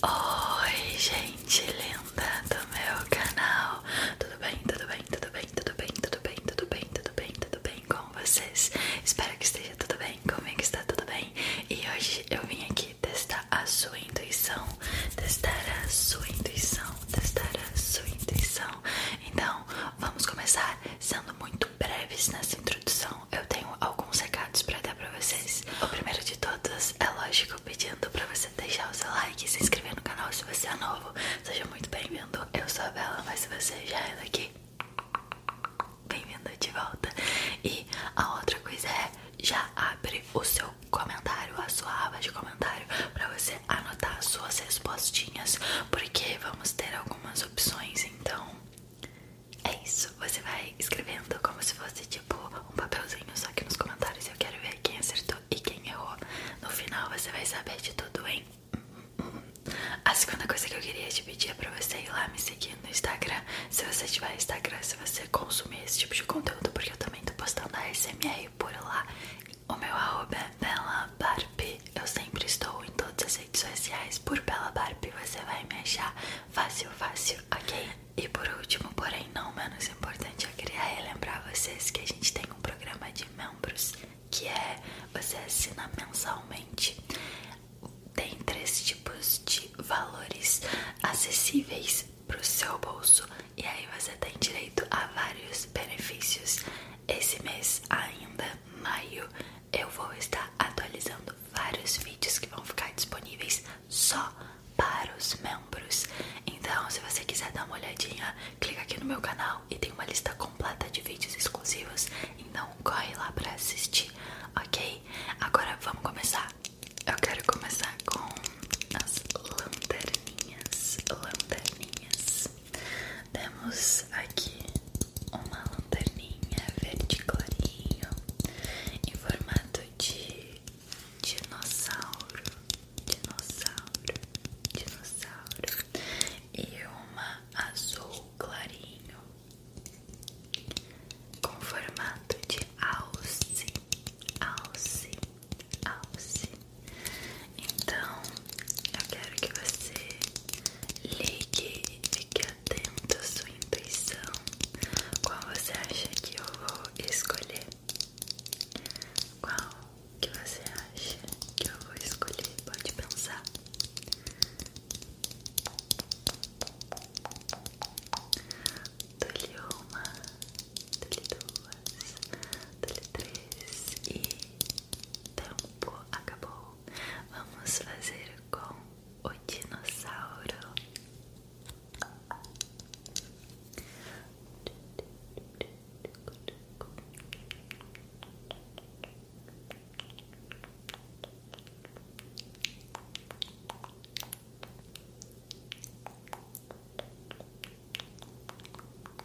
Oi, gente linda do meu canal. Tudo bem? Tudo bem? Tudo bem? Tudo bem? Tudo bem? Tudo bem? Tudo bem? Tudo bem com vocês? Espero que esteja tudo bem. Comigo é está tudo bem. E hoje eu vim aqui testar a sua intuição, testar a sua intuição, testar a sua intuição. Então, vamos começar sendo muito breves nessa introdução então, eu tenho alguns recados para dar para vocês. O primeiro de todos é lógico pedindo para você deixar o seu like e se inscrever no canal se você é novo. Seja muito bem-vindo. Eu sou a Bela, mas se você já é daqui, bem-vindo de volta. E a outra coisa é já abre o seu comentário, a sua aba de comentário para você anotar suas respostinhas, porque vamos ter algumas opções, então é isso, você vai escrevendo como se fosse tipo um papelzinho, só que nos comentários eu quero ver quem acertou e quem errou. No final você vai saber de tudo, hein? A segunda coisa que eu queria te pedir é pra você ir lá me seguir no Instagram. Se você tiver Instagram, se você consumir esse tipo de conteúdo, porque eu também tô postando a SMR por lá. O meu arroba é Bela Eu sempre estou em todas as redes sociais por Bela Barbie. Você vai me achar. Fácil, fácil, ok? E por último, porém não menos importante, eu queria relembrar vocês que a gente tem um programa de membros que é você assina mensalmente. Tem três tipos de valores acessíveis para o seu bolso e aí você tem direito a vários benefícios. Esse mês ainda, maio, eu vou estar atualizando vários vídeos que vão ficar disponíveis só para os membros. Então, se você quiser dar uma olhadinha, clica aqui no meu canal e tem uma lista completa de vídeos exclusivos. Então, corre lá para assistir, ok? Agora vamos começar. Eu quero começar com as lanterninhas, lanterninhas. Temos aqui uma lanterninha verde clarinho em formato de dinossauro, dinossauro, dinossauro e uma azul clarinho com formato de alce, alce, alce. Então, eu quero que você Ligue e fique atento à sua intuição. Qual você acha que eu vou escolher? Qual que você acha que eu vou escolher? Pode pensar. Dole uma, dole duas, dole três e Tempo acabou. Vamos fazer com o dinossauro.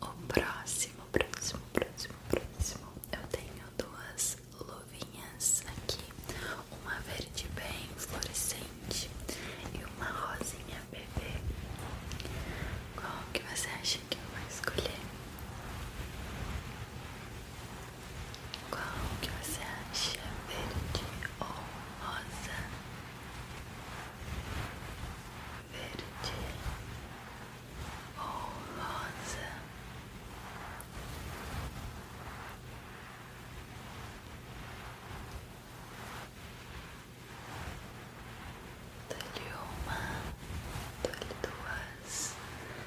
O próximo, próximo, próximo, próximo. Eu tenho duas luvinhas aqui: uma verde bem fluorescente e uma rosinha bebê. Qual que você acha que eu vou escolher? Qual que você acha? Verde ou rosa? Verde ou rosa? Dou-lhe uma, dou duas,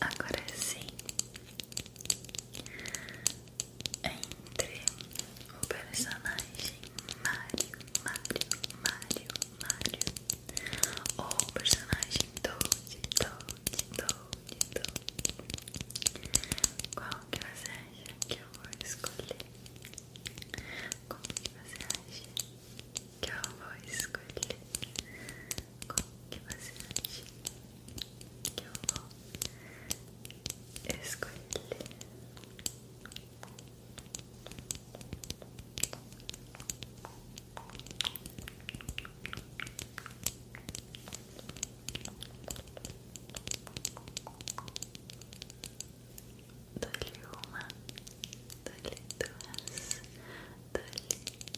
Agora sim, entre o personagem Mario, Mario, Mario Mário, o personagem Toad, Toad, Toad, Toad. Qual que você acha que vou escolher? Qual que você acha vou escolher? Qual que você acha vou escolher? Dou-lhe uma, dou-lhe duas, dou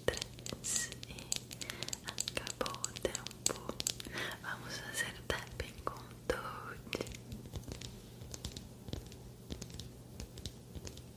três e acabou o tempo. Vamos fazer tapping com Toad.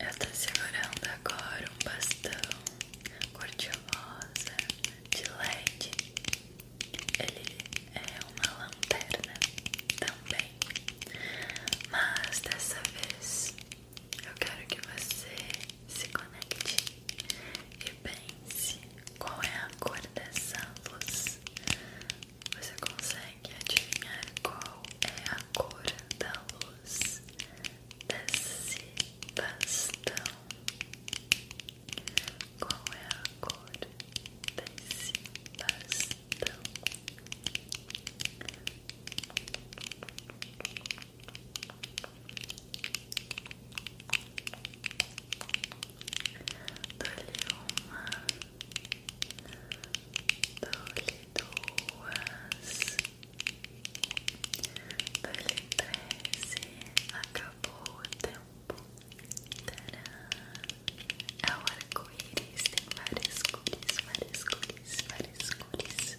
Eu estou segurando agora um bastão cor de rosa de LED ele é uma lanterna também, mas dessa vez eu quero que você se conecte e pense qual é a cor dessa luz. Você consegue adivinhar qual é a cor da luz desse bastão? Qual é a cor desse bastão? Dole uma, dole duas, dole treze. Acabou o tempo. Tcharam! É o arco-íris, várias cores, várias cores, várias cores.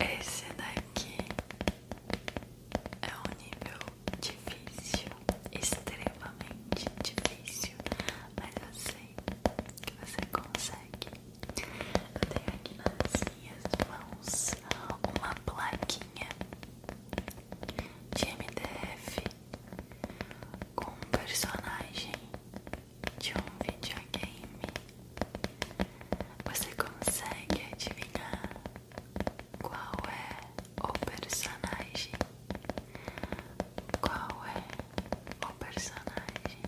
Esse daqui é um nível difícil extremamente difícil, mas eu sei que você consegue. Eu tenho aqui nas minhas mãos uma plaquinha de MDF com um personagem de um videogame. Você consegue adivinhar qual é? o personagem? Qual é o personagem?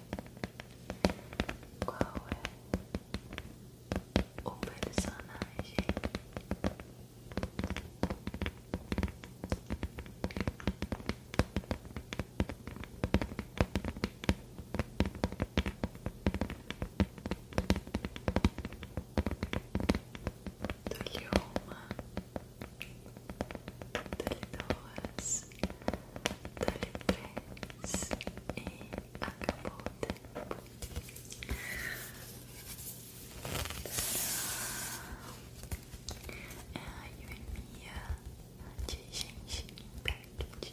Qual é o personagem? Dou-lhe uma Dali duas, dali três e acabou o tempo. É a Yuemia de Genshin Impact.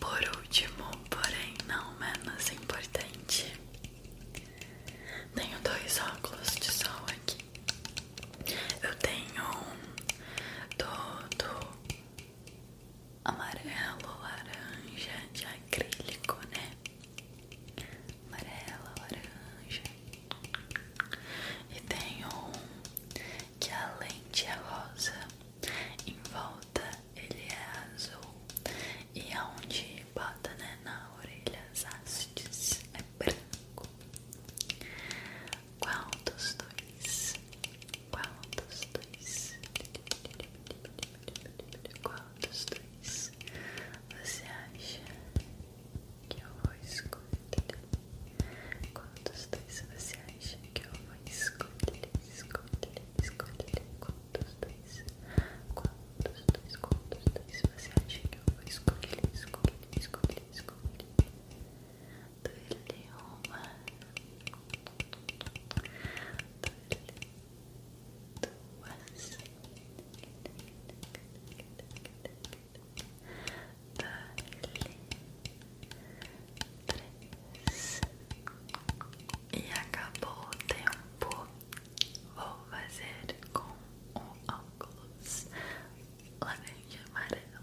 Por último, porém não menos importante, tenho dois óculos de sol aqui. Eu tenho um todo amarelo, laranja, de acrílico, né? Amarelo, laranja. E tem um que além de é rosa, em volta ele é azul. E aonde bota, né, na orelha, as hastes é branco. Qual dos dois quantos dois? quantos dois você acha que eu vou escolher? quantos dois você acha que eu vou escolher? Escolher, escolher. Qual dos dois? Qual dois? quantos dois você acha que eu vou escolher? Escolher, escolher, escolher. Do Roma dois, três e acabou o tempo. Vou fazer com o óculos laranja amarelo.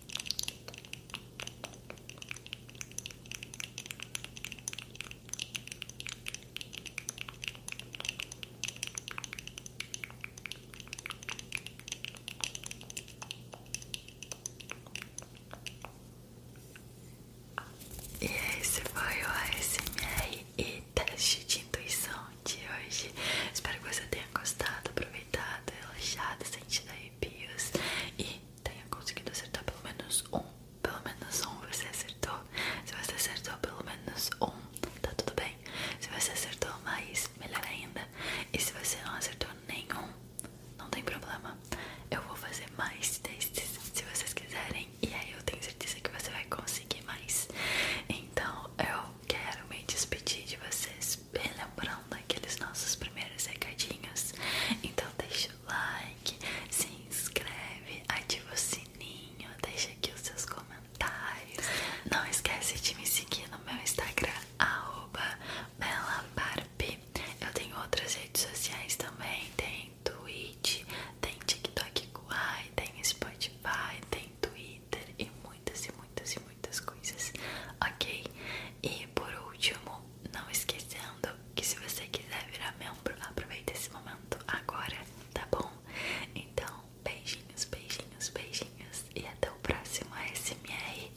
E esse foi o ASMR e teste de intuição de hoje. Espero que você tenha gostado, aproveitado, relaxado, sentido arrepios e tenha conseguido acertar pelo menos um. Pelo menos um você acertou. Se você acertou pelo menos um, tá tudo bem. Se você acertou mais, melhor ainda. E se você não acertou nenhum, não tem problema. Eu vou fazer mais testes se vocês quiserem. E aí eu tenho certeza que você vai conseguir mais. Então eu quero me despedir de vocês relembrando aqueles nossos primeiros recadinhos. Então deixa o like, se inscreve, ativa o sininho, deixa aqui os seus comentários. Não esquece de me seguir no meu Instagram, arroba Eu tenho outras redes sociais também, tem Twitch, tem TikTok Guai, tem Spotify, tem Twitter e muitas e muitas e muitas coisas, ok? E por último, não esquecendo que se você quiser virar membro, aproveita esse momento agora, tá bom? Então, beijinhos, beijinhos, beijinhos e até o próximo ASMR.